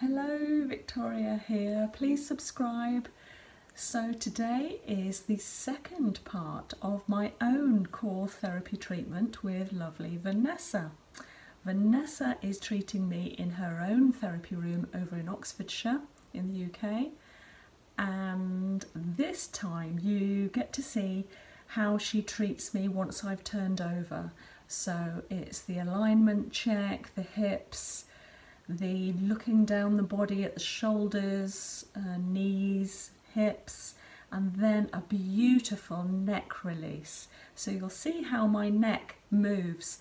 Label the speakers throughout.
Speaker 1: Hello, Victoria here. Please subscribe. So, today is the second part of my own core therapy treatment with lovely Vanessa. Vanessa is treating me in her own therapy room over in Oxfordshire in the UK, and this time you get to see how she treats me once I've turned over. So it's the alignment check, the hips, the looking down the body at the shoulders, uh, knees, hips, and then a beautiful neck release. So you'll see how my neck moves.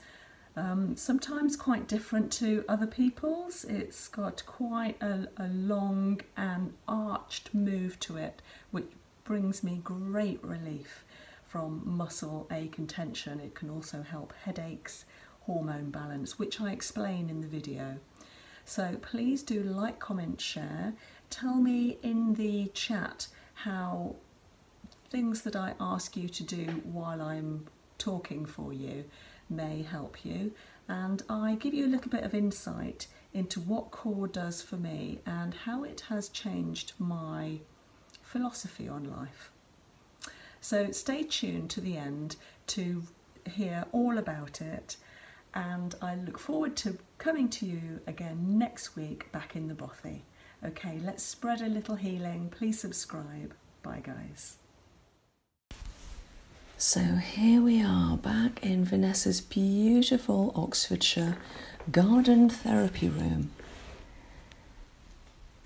Speaker 1: Um, sometimes quite different to other people's. It's got quite a, long and arched move to it, which, brings me great relief from muscle ache and tension. It can also help headaches, hormone balance, which I explain in the video. So please do like, comment, share. Tell me in the chat how things that I ask you to do while I'm talking for you may help you. And I give you a little bit of insight into what core does for me and how it has changed my philosophy on life. So stay tuned to the end to hear all about it. And I look forward to coming to you again next week back in the Bothy. Okay, let's spread a little healing. Please subscribe. Bye, guys. So here we are back in Vanessa's beautiful Oxfordshire garden therapy room.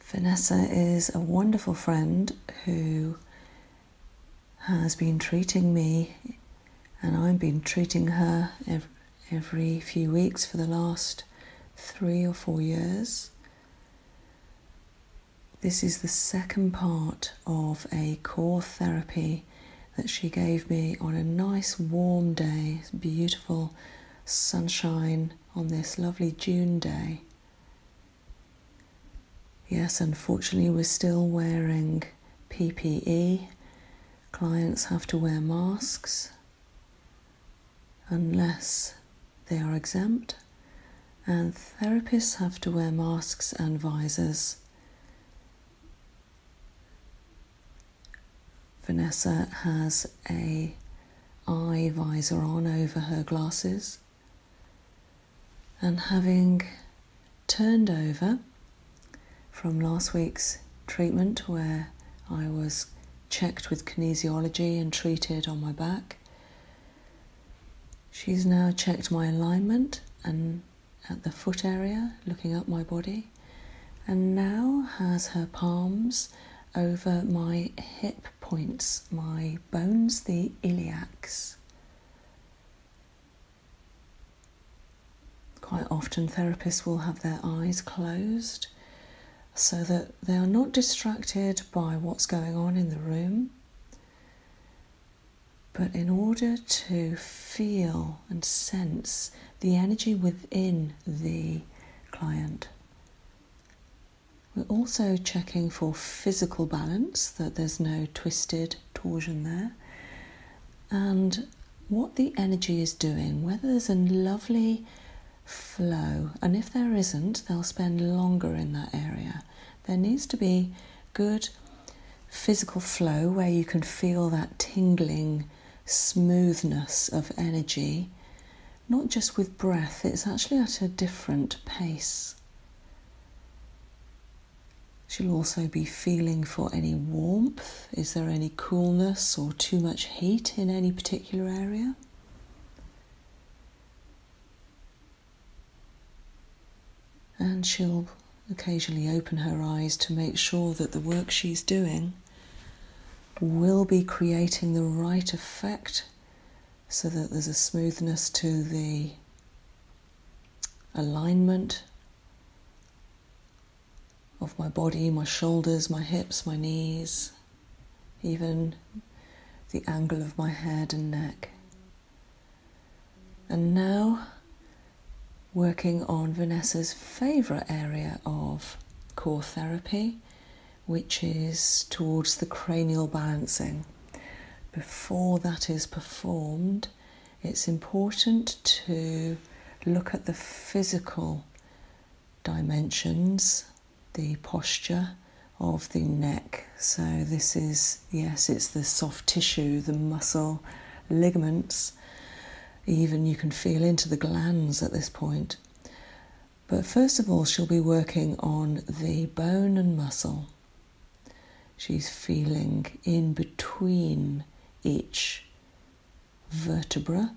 Speaker 1: Vanessa is a wonderful friend who has been treating me, and I've been treating her every, few weeks for the last three or four years. This is the second part of a core therapy that she gave me on a nice warm day, beautiful sunshine on this lovely June day. Yes, unfortunately, we're still wearing PPE. Clients have to wear masks unless they are exempt, and therapists have to wear masks and visors. Vanessa has a eye visor on over her glasses and having turned over from last week's treatment where I was checked with kinesiology and treated on my back. She's now checked my alignment and at the foot area, looking up my body and now has her palms over my hip points, my bones, the iliacs. Quite often, therapists will have their eyes closed so that they are not distracted by what's going on in the room. But in order to feel and sense the energy within the client. We're also checking for physical balance, that there's no twisted torsion there, and what the energy is doing, whether there's a lovely flow, and if there isn't, they'll spend longer in that area. There needs to be good physical flow where you can feel that tingling smoothness of energy, not just with breath, it's actually at a different pace. She'll also be feeling for any warmth. Is there any coolness or too much heat in any particular area? And she'll occasionally open her eyes to make sure that the work she's doing will be creating the right effect so that there's a smoothness to the alignment of my body, my shoulders, my hips, my knees, even the angle of my head and neck. And now, working on Vanessa's favourite area of core therapy, which is towards the cranial balancing. Before that is performed, it's important to look at the physical dimensions, the posture of the neck. So, this is yes, it's the soft tissue, the muscle, ligaments, even you can feel into the glands at this point. But first of all, she'll be working on the bone and muscle. She's feeling in between each vertebra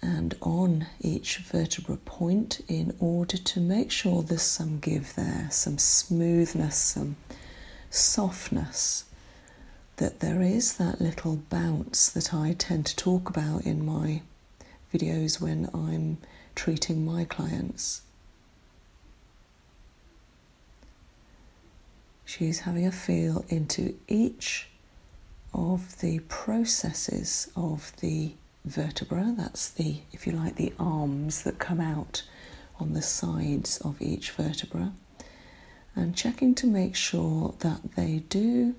Speaker 1: and on each vertebra point in order to make sure there's some give there, some smoothness, some softness that there is that little bounce that I tend to talk about in my videos when I'm treating my clients. She's having a feel into each of the processes of the vertebra, that's the, if you like, the arms that come out on the sides of each vertebra, and checking to make sure that they do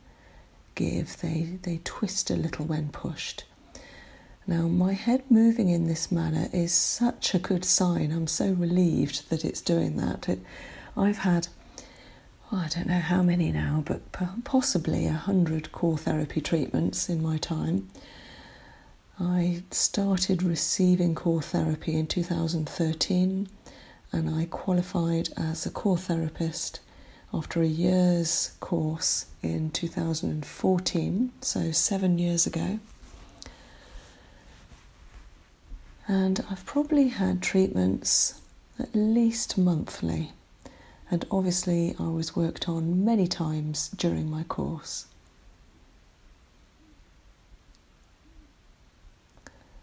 Speaker 1: give, they, they twist a little when pushed. Now, my head moving in this manner is such a good sign. I'm so relieved that it's doing that. I've had, oh, I don't know how many now, but possibly a hundred core therapy treatments in my time. I started receiving core therapy in 2013 and I qualified as a core therapist after a year's course in 2014, so seven years ago. And I've probably had treatments at least monthly, and obviously, I was worked on many times during my course.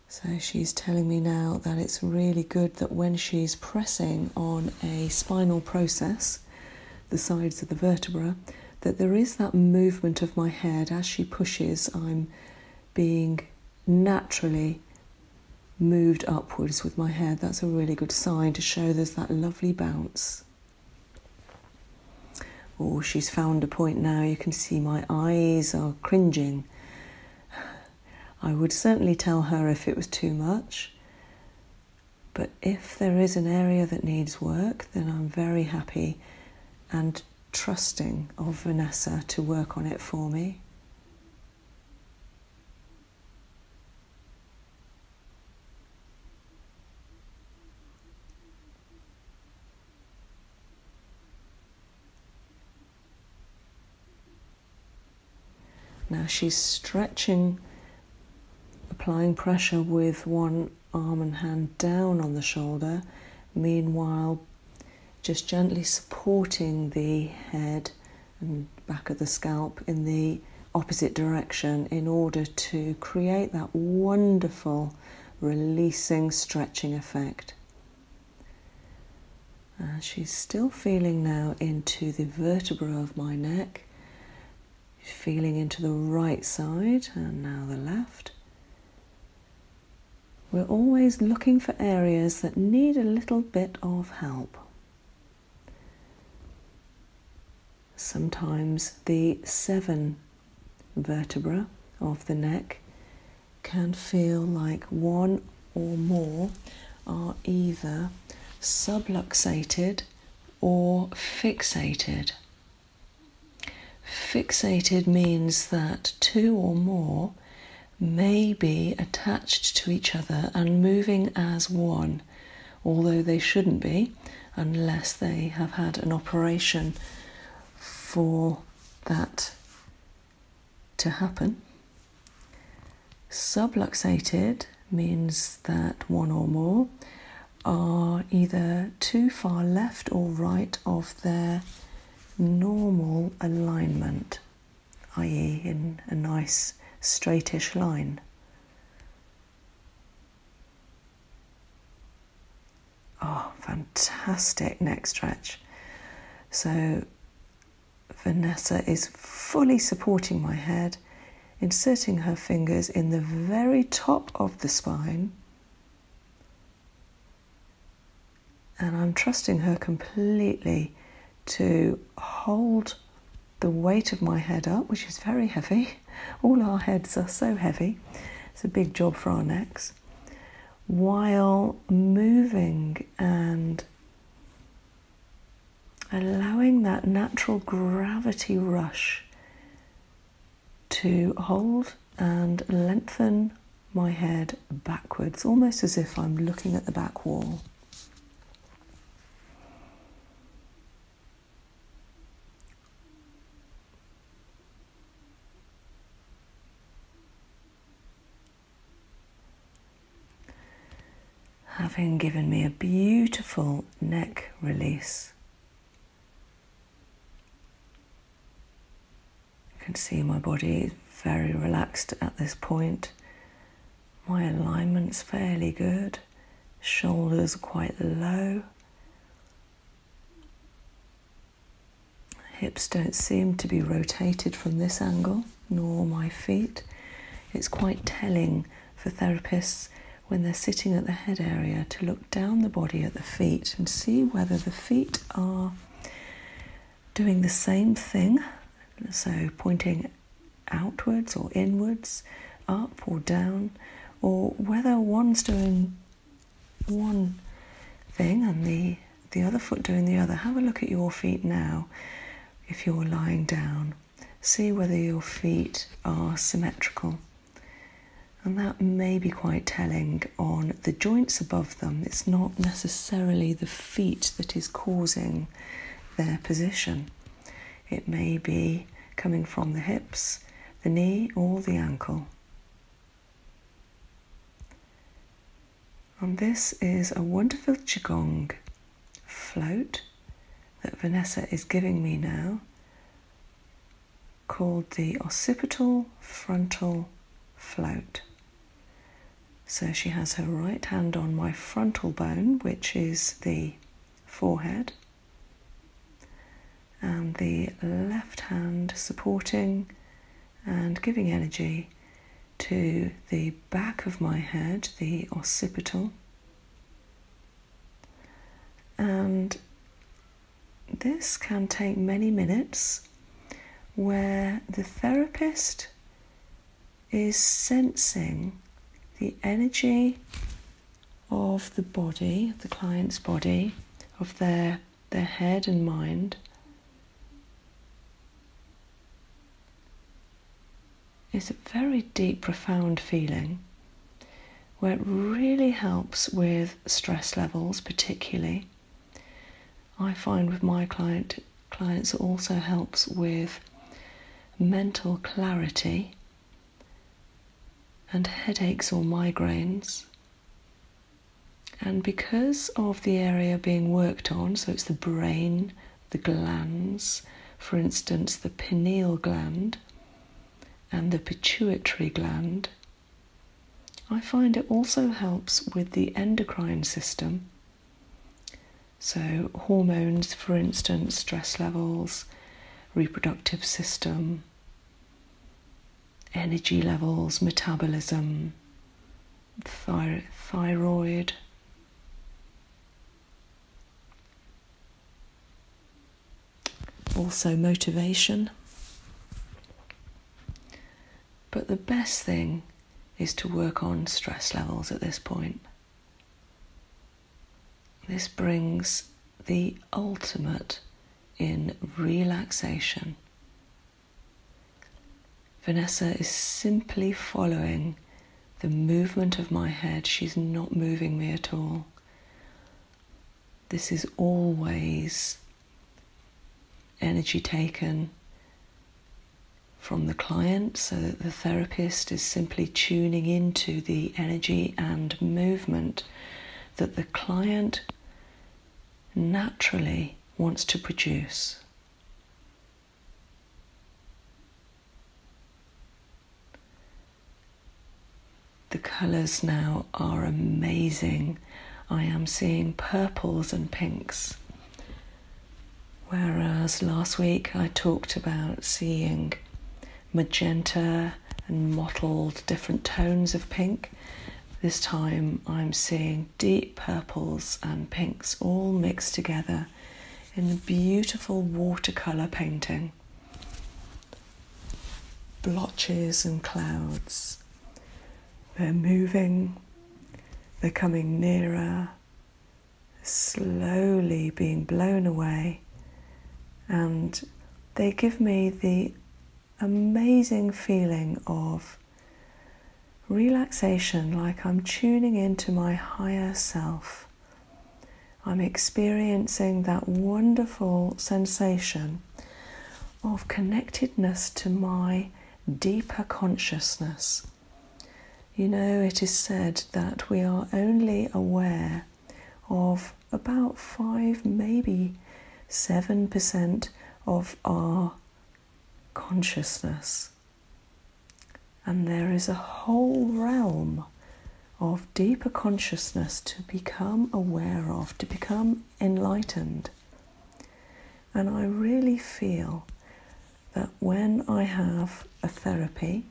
Speaker 1: So she's telling me now that it's really good that when she's pressing on a spinal process, the sides of the vertebra, that there is that movement of my head as she pushes, I'm being naturally moved upwards with my head. That's a really good sign to show there's that lovely bounce. Oh, she's found a point now. You can see my eyes are cringing. I would certainly tell her if it was too much. But if there is an area that needs work, then I'm very happy and trusting of Vanessa to work on it for me. Now she's stretching, applying pressure with one arm and hand down on the shoulder, meanwhile, just gently supporting the head and back of the scalp in the opposite direction in order to create that wonderful releasing, stretching effect. And uh, she's still feeling now into the vertebra of my neck. She's feeling into the right side and now the left. We're always looking for areas that need a little bit of help. Sometimes the seven vertebra of the neck can feel like one or more are either subluxated or fixated. Fixated means that two or more may be attached to each other and moving as one, although they shouldn't be unless they have had an operation for that to happen. Subluxated means that one or more are either too far left or right of their normal alignment, i.e., in a nice straightish line. Oh, fantastic neck stretch. So Vanessa is fully supporting my head, inserting her fingers in the very top of the spine. And I'm trusting her completely to hold the weight of my head up, which is very heavy. All our heads are so heavy. It's a big job for our necks. While moving and allowing that natural gravity rush to hold and lengthen my head backwards, almost as if I'm looking at the back wall having given me a beautiful neck release. You can see my body is very relaxed at this point. My alignment's fairly good, shoulders quite low. Hips don't seem to be rotated from this angle, nor my feet. It's quite telling for therapists when they're sitting at the head area to look down the body at the feet and see whether the feet are doing the same thing, so pointing outwards or inwards, up or down, or whether one's doing one thing and the the other foot doing the other. Have a look at your feet now if you're lying down. See whether your feet are symmetrical. And that may be quite telling on the joints above them. It's not necessarily the feet that is causing their position. It may be coming from the hips, the knee, or the ankle. And this is a wonderful Qigong float that Vanessa is giving me now called the occipital frontal float. So she has her right hand on my frontal bone, which is the forehead, and the left hand supporting and giving energy to the back of my head, the occipital. And this can take many minutes where the therapist is sensing the energy of the body, the client's body, of their, their head and mind, it's a very deep, profound feeling where it really helps with stress levels, particularly. I find with my client clients it also helps with mental clarity and headaches or migraines. And because of the area being worked on, so it's the brain, the glands, for instance, the pineal gland and the pituitary gland. I find it also helps with the endocrine system. So, hormones, for instance, stress levels, reproductive system, energy levels, metabolism, thyroid also motivation but the best thing is to work on stress levels at this point this brings the ultimate in relaxation Vanessa is simply following the movement of my head. She's not moving me at all. This is always energy taken from the client so that the therapist is simply tuning into the energy and movement that the client naturally wants to produce. The colours now are amazing. I am seeing purples and pinks. Whereas last week I talked about seeing magenta and mottled different tones of pink. This time I'm seeing deep purples and pinks all mixed together in the beautiful watercolour painting. Blotches and clouds. They're moving, they're coming nearer, slowly being blown away, and they give me the amazing feeling of Relaxation, like I'm tuning into my higher self. I'm experiencing that wonderful sensation of connectedness to my deeper consciousness. You know, it is said that we are only aware of about five, maybe seven percent of our consciousness. And there is a whole realm of deeper consciousness to become aware of, to become enlightened. And I really feel that when I have a therapy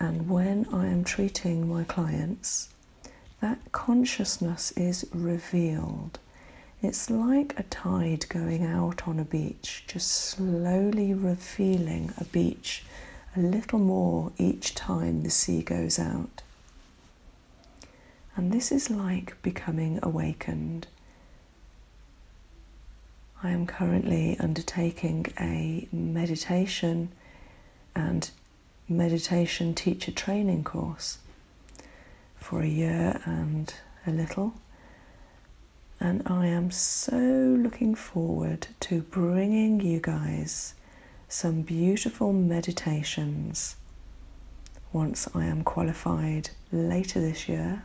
Speaker 1: and when I am treating my clients, that consciousness is revealed it's like a tide going out on a beach, just slowly revealing a beach a little more each time the sea goes out. And this is like becoming awakened. I am currently undertaking a meditation and meditation teacher training course for a year and a little. And I am so looking forward to bringing you guys some beautiful meditations once I am qualified later this year.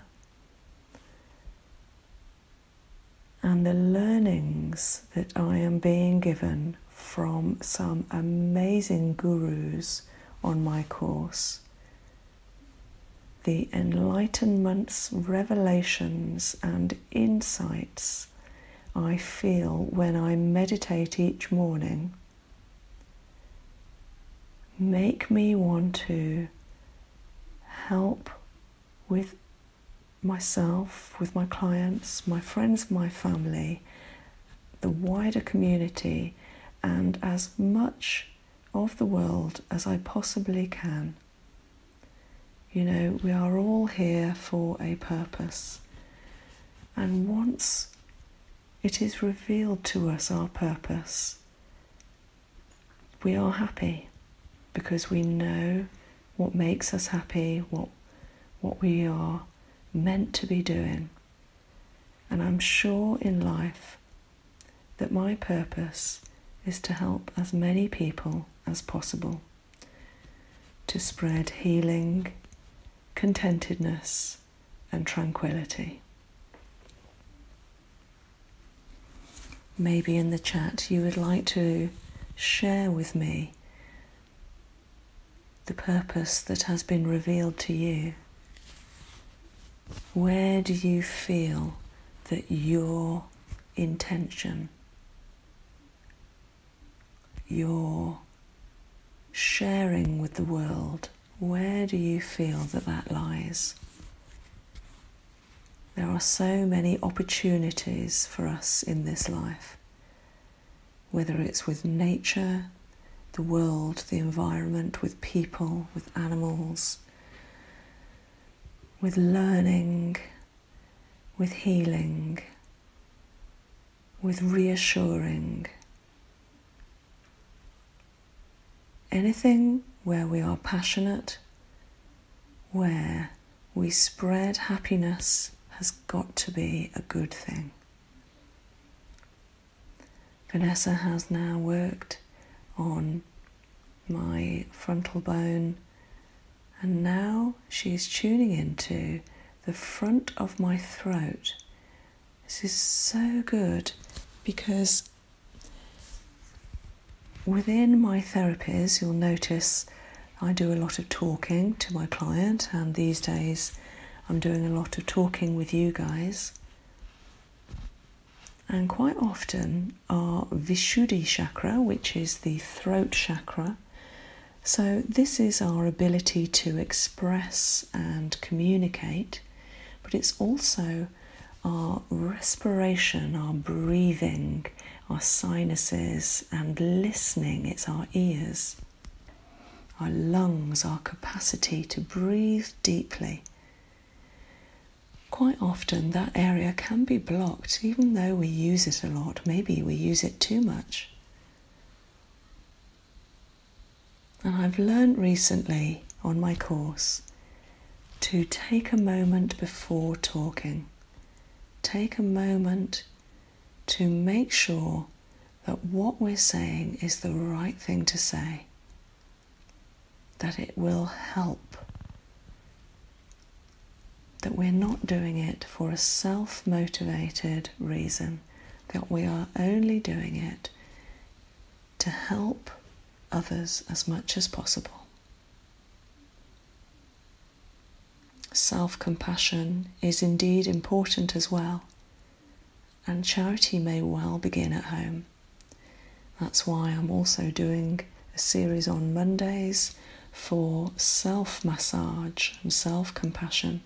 Speaker 1: And the learnings that I am being given from some amazing gurus on my course the Enlightenment's revelations and insights I feel when I meditate each morning make me want to help with myself, with my clients, my friends, my family, the wider community, and as much of the world as I possibly can. You know, we are all here for a purpose. And once it is revealed to us our purpose, we are happy because we know what makes us happy, what, what we are meant to be doing. And I'm sure in life that my purpose is to help as many people as possible to spread healing, contentedness, and tranquility. Maybe in the chat you would like to share with me the purpose that has been revealed to you where do you feel that your intention, your sharing with the world, where do you feel that that lies? There are so many opportunities for us in this life, whether it's with nature, the world, the environment, with people, with animals, with learning, with healing, with reassuring. Anything where we are passionate, where we spread happiness, has got to be a good thing. Vanessa has now worked on my frontal bone. And now she is tuning into the front of my throat. This is so good because within my therapies, you'll notice I do a lot of talking to my client, and these days I'm doing a lot of talking with you guys. And quite often, our Vishuddhi chakra, which is the throat chakra, so this is our ability to express and communicate, but it's also our respiration, our breathing, our sinuses, and listening. It's our ears, our lungs, our capacity to breathe deeply quite often that area can be blocked, even though we use it a lot. Maybe we use it too much. And I've learned recently on my course to take a moment before talking. Take a moment to make sure that what we're saying is the right thing to say that it will help. That we're not doing it for a self motivated reason, that we are only doing it to help others as much as possible. Self compassion is indeed important as well, and charity may well begin at home. That's why I'm also doing a series on Mondays for self massage and self compassion.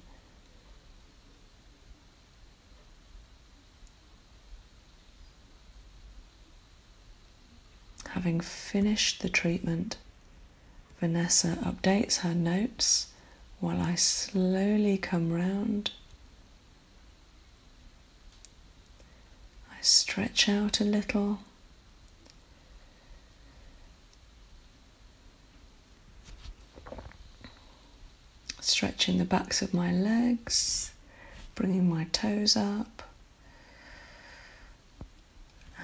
Speaker 1: Having finished the treatment, Vanessa updates her notes while I slowly come round I stretch out a little. Stretching the backs of my legs, bringing my toes up.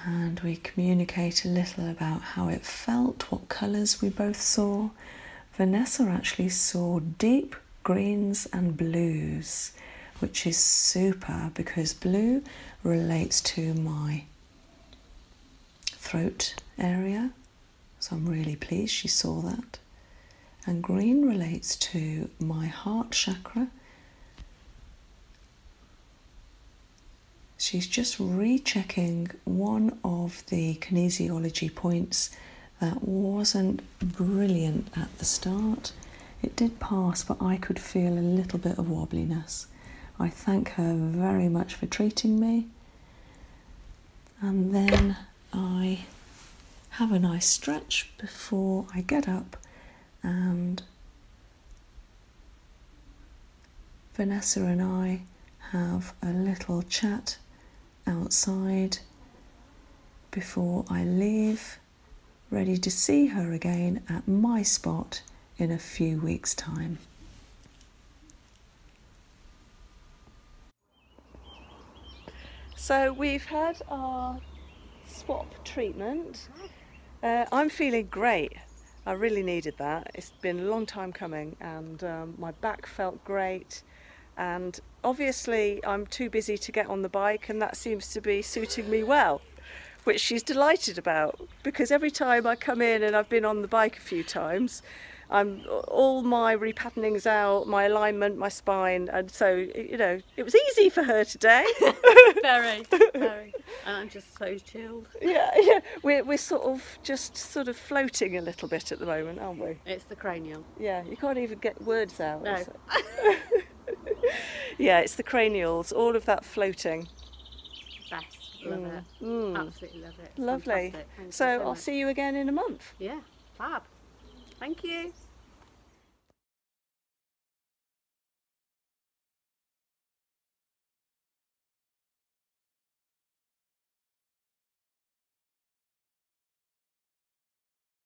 Speaker 1: And we communicate a little about how it felt, what colours we both saw. Vanessa actually saw deep greens and blues, which is super because blue relates to my throat area. So I'm really pleased she saw that. And green relates to my heart chakra. She's just rechecking one of the kinesiology points that wasn't brilliant at the start. It did pass, but I could feel a little bit of wobbliness. I thank her very much for treating me. And then I have a nice stretch before I get up and Vanessa and I have a little chat outside before I leave ready to see her again at my spot in a few weeks' time. So we've had our swap treatment. Uh, I'm feeling great. I really needed that. It's been a long time coming and um, my back felt great and obviously I'm too busy to get on the bike and that seems to be suiting me well which she's delighted about because every time I come in and I've been on the bike a few times I'm all my repatterning's out, my alignment, my spine, and so you know it was easy for her today. very, very, and I'm just so chilled. Yeah, yeah, we're we're sort of just sort of floating a little bit at the moment, aren't we? It's the cranial. Yeah, you can't even get words out. No. yeah, it's the cranials, all of that floating. Best. Love mm. it. Mm. Absolutely love it. Lovely. So, I'll see you again in a month. Yeah, fab. Thank you.